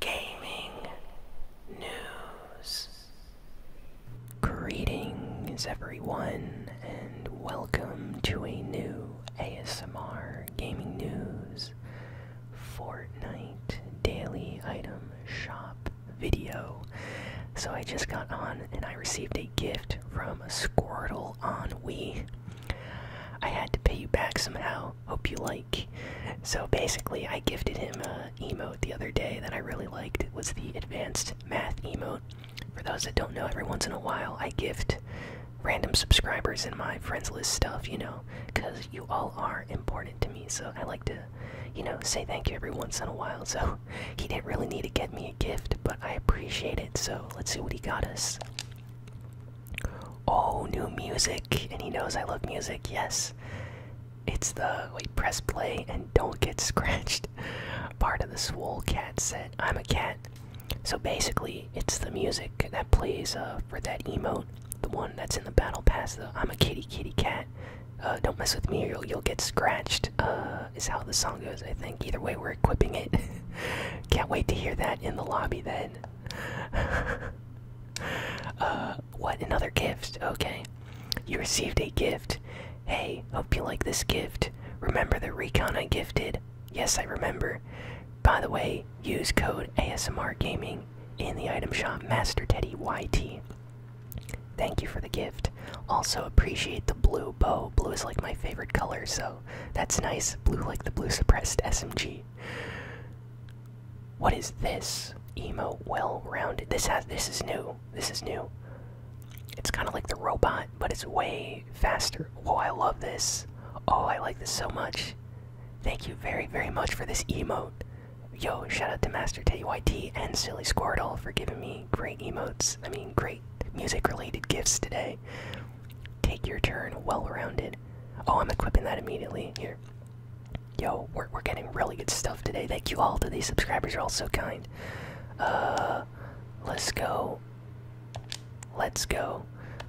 gaming news. Greetings, everyone, and welcome to a new ASMR Gaming News Fortnite Daily Item Shop video. So, I just got on and I received a gift from Squirtle on Wii. I had to pay you back somehow, Hope you like. So basically, I gifted him a emote the other day that I really liked. It was the advanced math emote. For those that don't know, every once in a while I gift random subscribers in my friends list stuff, you know, because you all are important to me. So I like to, you know, say thank you every once in a while. So he didn't really need to get me a gift, but I appreciate it. So let's see what he got us. Oh, new music. And he knows I love music, yes. It's the wait, press play and don't get scratched part of the Swole Cat set. I'm a cat. So basically, it's the music that plays uh, for that emote, the one that's in the battle pass. The I'm a kitty, kitty, cat. Uh, don't mess with me or you'll, you'll get scratched, uh, is how the song goes, I think. Either way, we're equipping it. Can't wait to hear that in the lobby then. What? Another gift? Okay. You received a gift. Hey, hope you like this gift. Remember the recon I gifted? Yes, I remember. By the way, use code ASMR Gaming in the item shop Master Teddy YT. Thank you for the gift. Also appreciate the blue bow. Blue is like my favorite color, so that's nice. Blue like the blue suppressed SMG. What is this? Emo well-rounded. This has this is new. This is new. It's kind of like the robot, but it's way faster. Oh, I love this. Oh, I like this so much. Thank you very, very much for this emote. Yo, shout out to Master TYT and Silly Squirtle for giving me great emotes. I mean, great music related gifts today. Take your turn, well rounded. Oh, I'm equipping that immediately. Here. Yo, we're, we're getting really good stuff today. Thank you all to these subscribers. You're all so kind. Uh, let's go. Let's go.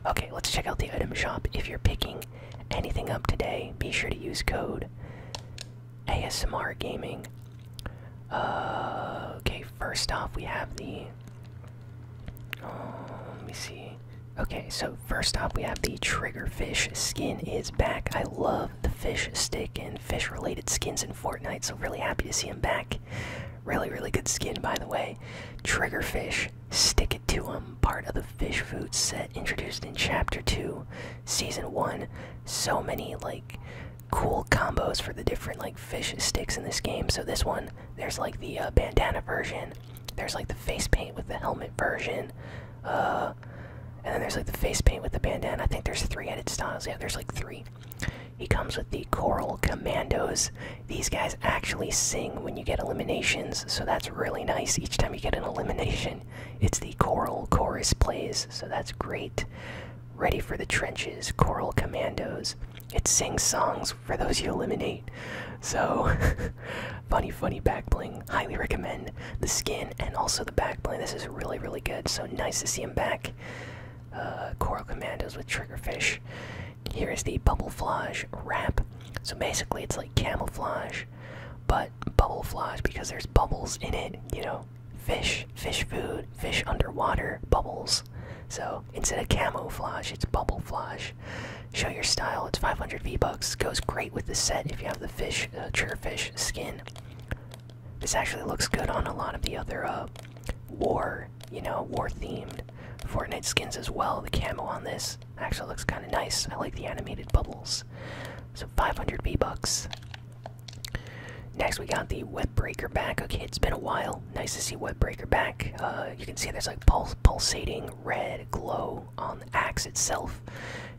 Okay, let's check out the item shop. If you're picking anything up today, be sure to use code ASMR Gaming. Uh, okay, first off, we have the. Oh, let me see. Okay, so first up, we have the Triggerfish skin is back. I love the fish stick and fish related skins in Fortnite, so really happy to see him back. Really, really good skin, by the way. Triggerfish, stick it to him. Part of the fish food set introduced in Chapter 2, Season 1. So many, like, cool combos for the different, like, fish sticks in this game. So, this one, there's, like, the uh, bandana version, there's, like, the face paint with the helmet version. Uh, and then there's like the face paint with the bandana. I think there's three headed styles. Yeah, there's like three. He comes with the Choral Commandos. These guys actually sing when you get eliminations, so that's really nice. Each time you get an elimination, it's the Choral Chorus plays, so that's great. Ready for the Trenches, Choral Commandos. It sings songs for those you eliminate. So Funny, funny back bling. Highly recommend the skin and also the back bling. This is really, really good. So nice to see him back. Uh, Coral Commandos with Triggerfish. Here is the Bubblefish wrap. So basically, it's like camouflage, but bubblefish because there's bubbles in it. You know, fish, fish food, fish underwater, bubbles. So instead of camouflage, it's bubblefish. Show your style. It's 500 V Goes great with the set if you have the fish, chairfish uh, skin. This actually looks good on a lot of the other uh, war, you know, war-themed Fortnite skins as well. The camo on this actually looks kind of nice. I like the animated bubbles. So 500 V-Bucks. Next, we got the Webbreaker back. Okay, it's been a while. Nice to see Webbreaker back. Uh, you can see there's like pulsating red glow on the axe itself.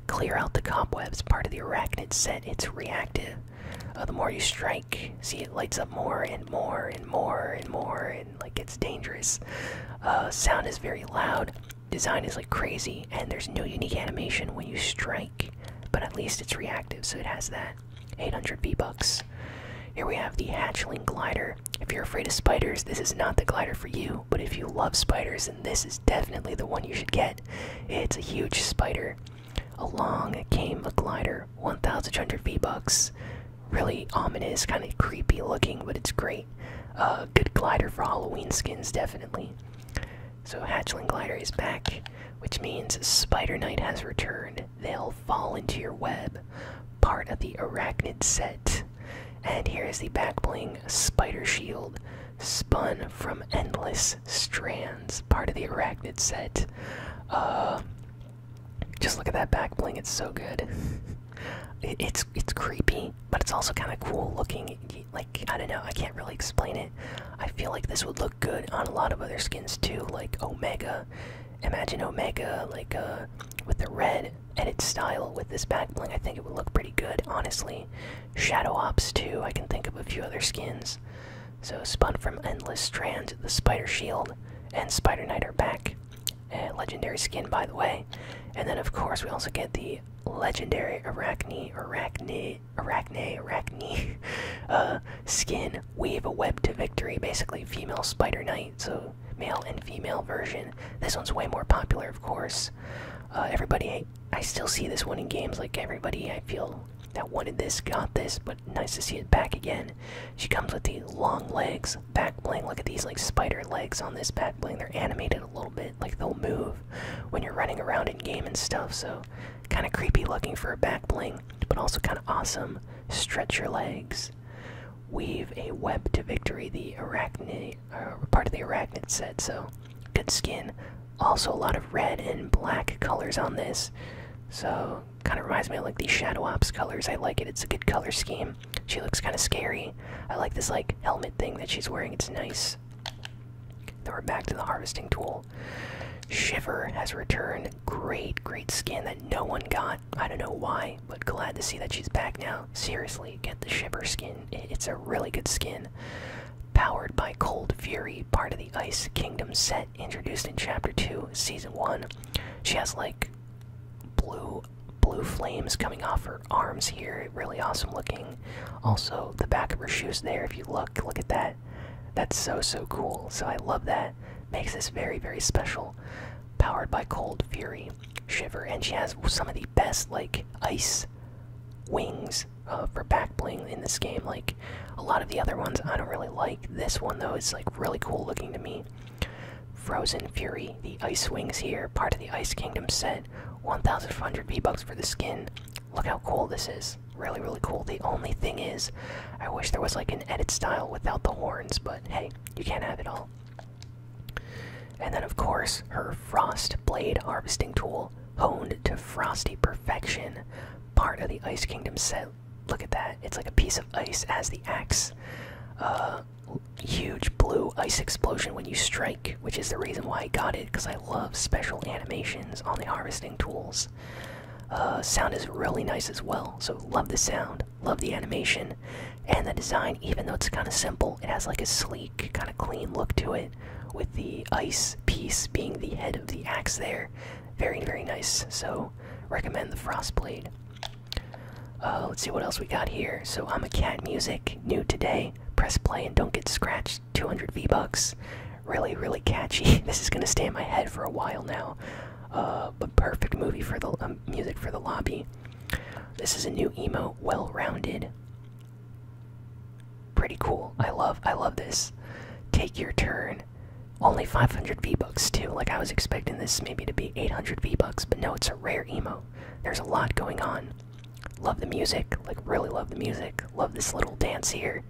Clear out the cobwebs. Part of the arachnid set. It's reactive. Uh, the more you strike, see it lights up more and more and more and more and like it's dangerous. Uh, sound is very loud. Design is like crazy, and there's no unique animation when you strike, but at least it's reactive, so it has that. 800 V bucks. Here we have the Hatchling Glider. If you're afraid of spiders, this is not the glider for you, but if you love spiders, then this is definitely the one you should get. It's a huge spider. Along came a glider, 1,200 V-Bucks. Really ominous, kind of creepy looking, but it's great. A good glider for Halloween skins, definitely. So Hatchling Glider is back, which means Spider Knight has returned. They'll fall into your web, part of the Arachnid set. And here is the back bling Spider Shield spun from endless strands, part of the arachnid set. Uh, just look at that back bling; it's so good. it's it's creepy, but it's also kind of cool looking. Like I don't know, I can't really explain it. I feel like this would look good on a lot of other skins too, like Omega. Imagine Omega like uh, with the red edit style with this back bling. I think it would look pretty good, honestly. Shadow Ops 2. I can think of a few other skins. So, Spun from Endless Strands, the Spider Shield, and Spider Knight are back. legendary skin, by the way. And then, of course, we also get the legendary Arachne, Arachne, Arachne, Arachne uh, skin, Weave a Web to Victory, basically female Spider Knight. So, male and female version. This one's way more popular, of course. Uh, everybody I still see this winning games like everybody I feel that wanted this got this, but nice to see it back again. She comes with the long legs, back bling. Look at these like spider legs on this back bling. They're animated a little bit, like they'll move when you're running around in game and stuff. So kind of creepy looking for a back bling, but also kind of awesome. Stretch your legs. Weave a web to victory. The arachne uh, part of the arachnid set. So good skin. Also a lot of red and black colors on this. So kind of reminds me of like these Shadow Ops colors. I like it. It's a good color scheme. She looks kind of scary. I like this like helmet thing that she's wearing. It's nice. Then we're back to the harvesting tool. Shiver has returned. Great, great skin that no one got. I don't know why, but glad to see that she's back now seriously, get the Shiver skin. It's a really good skin. Powered by Cold Fury, part of the Ice Kingdom set introduced in Chapter 2, Season 1. She has like blue blue flames coming off her arms here. Really awesome looking. Also, the back of her shoes there, if you look, look at that. That's so, so cool. So I love that. Makes this very, very special. Powered by Cold Fury, Shiver, and she has some of the best, like, ice wings uh, for back bling in this game. Like a lot of the other ones, I don't really like. This one though It's like really cool looking to me. Frozen Fury, the ice wings here, part of the Ice Kingdom set. 1,500 V bucks for the skin. Look how cool this is. Really, really cool. The only thing is, I wish there was like an edit style without the horns, but hey, you can't have it all. And then, of course, her frost blade harvesting tool, honed to frosty perfection, part of the Ice Kingdom set. Look at that. It's like a piece of ice as the axe. Uh, huge blue ice explosion when you strike, which is the reason why I got it, because I love special animations on the harvesting tools. Uh, sound is really nice as well, so love the sound, love the animation, and the design, even though it's kind of simple, it has like a sleek kind of clean look to it, with the ice piece being the head of the axe there. Very, very nice. So, recommend the Frost Blade. Uh, let's see what else we got here. So, I'm a cat music, new today. Press play and don't get scratched. 200 V bucks. Really, really catchy. this is gonna stay in my head for a while now. Uh, but perfect movie for the um, music for the lobby. This is a new emo. well rounded. Pretty cool. I love I love this. Take your turn. Only 500 V-Bucks too. Like I was expecting this maybe to be 800 V-Bucks, but no, it's a rare emo. There's a lot going on. Love the music. Like really love the music. Love this little dance here.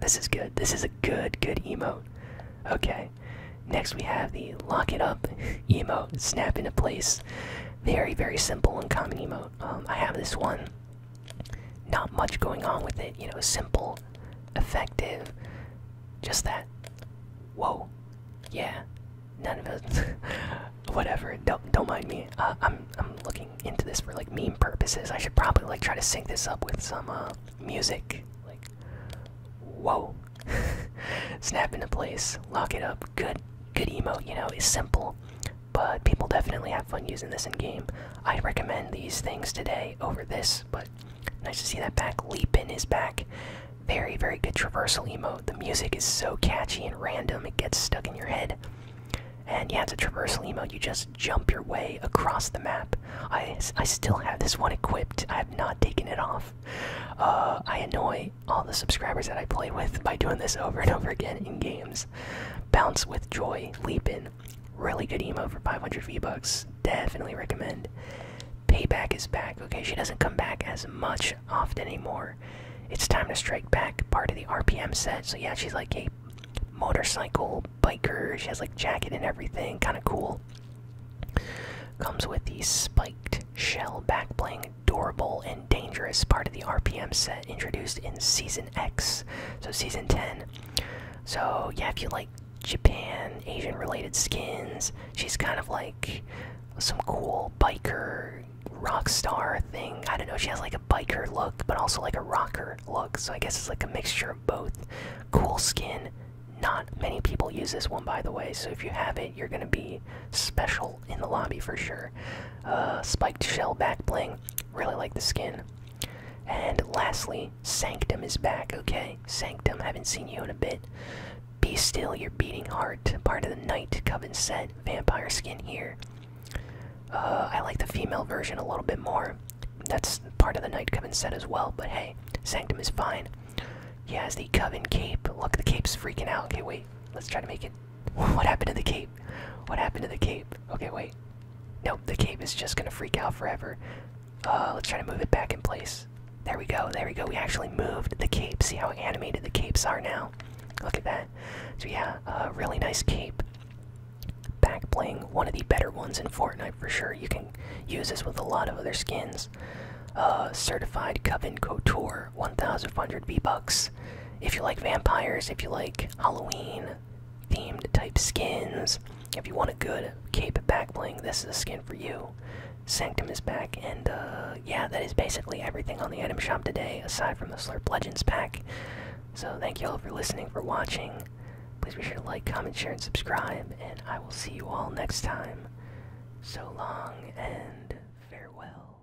This is good. This is a good good emo. Okay. Next we have the lock it up emo. Snap into place. Very very simple and common emo. Um, I have this one. Not much going on with it, you know, simple, effective, just that. Whoa, yeah, none of it. Whatever, don't don't mind me. Uh, I'm I'm looking into this for like meme purposes. I should probably like try to sync this up with some uh, music. Like, whoa, snap into place, lock it up. Good good emote, you know, is simple, but people definitely have fun using this in game. I recommend these things today over this, but nice to see that back leap in his back. Very, very good traversal emote. The music is so catchy and random, it gets stuck in your head. And yeah, it's a traversal emote. You just jump your way across the map. I, I still have this one equipped. I have not taken it off. Uh, I annoy all the subscribers that I play with by doing this over and over again in games. Bounce with Joy, leaping, Really good emo for 500 V-Bucks. Definitely recommend. Payback is back. Okay, she doesn't come back as much often anymore. It's time to strike back. Part of the RPM set. So yeah, she's like a motorcycle biker. She has like jacket and everything. Kind of cool. Comes with the spiked shell back bling durable and dangerous part of the RPM set introduced in Season X, so Season 10. So, yeah, if you like Japan, Asian related skins, she's kind of like some cool biker rock star thing. I don't know, she has like a biker look, but also like a rocker look, so I guess it's like a mixture of both. Cool skin. Not many people use this one, by the way, so if you have it, you're gonna be special in the lobby for sure. Uh, spiked shell back bling. Really like the skin. And lastly, Sanctum is back, okay? Sanctum, haven't seen you in a bit. Be still, your beating heart. Part of the night, Coven set. Vampire skin here. Uh, I like the female version a little bit more. That's part of the night, Coven set as well, but hey, Sanctum is fine. He has the Coven cape. Look, the cape's freaking out. Okay, wait. Let's try to make it what happened to the cape? What happened to the cape? Okay, wait. Nope, the cape is just gonna freak out forever. Uh, let's try to move it back in place. There we go, there we go. We actually moved the cape. See how animated the capes are now? Look at that. So, yeah, a really nice cape. Back bling, one of the better ones in Fortnite for sure. You can use this with a lot of other skins. Uh, certified Coven Couture for 1,500 V-Bucks. If you like vampires, if you like Halloween themed type skins, if you want a good cape back bling, this is a skin for you. Sanctum is back, and uh, yeah, that is basically everything on the item shop today, aside from the Slurp Legends pack. So thank you all for listening, for watching. Please be sure to like, comment, share, and subscribe, and I will see you all next time. So long and farewell.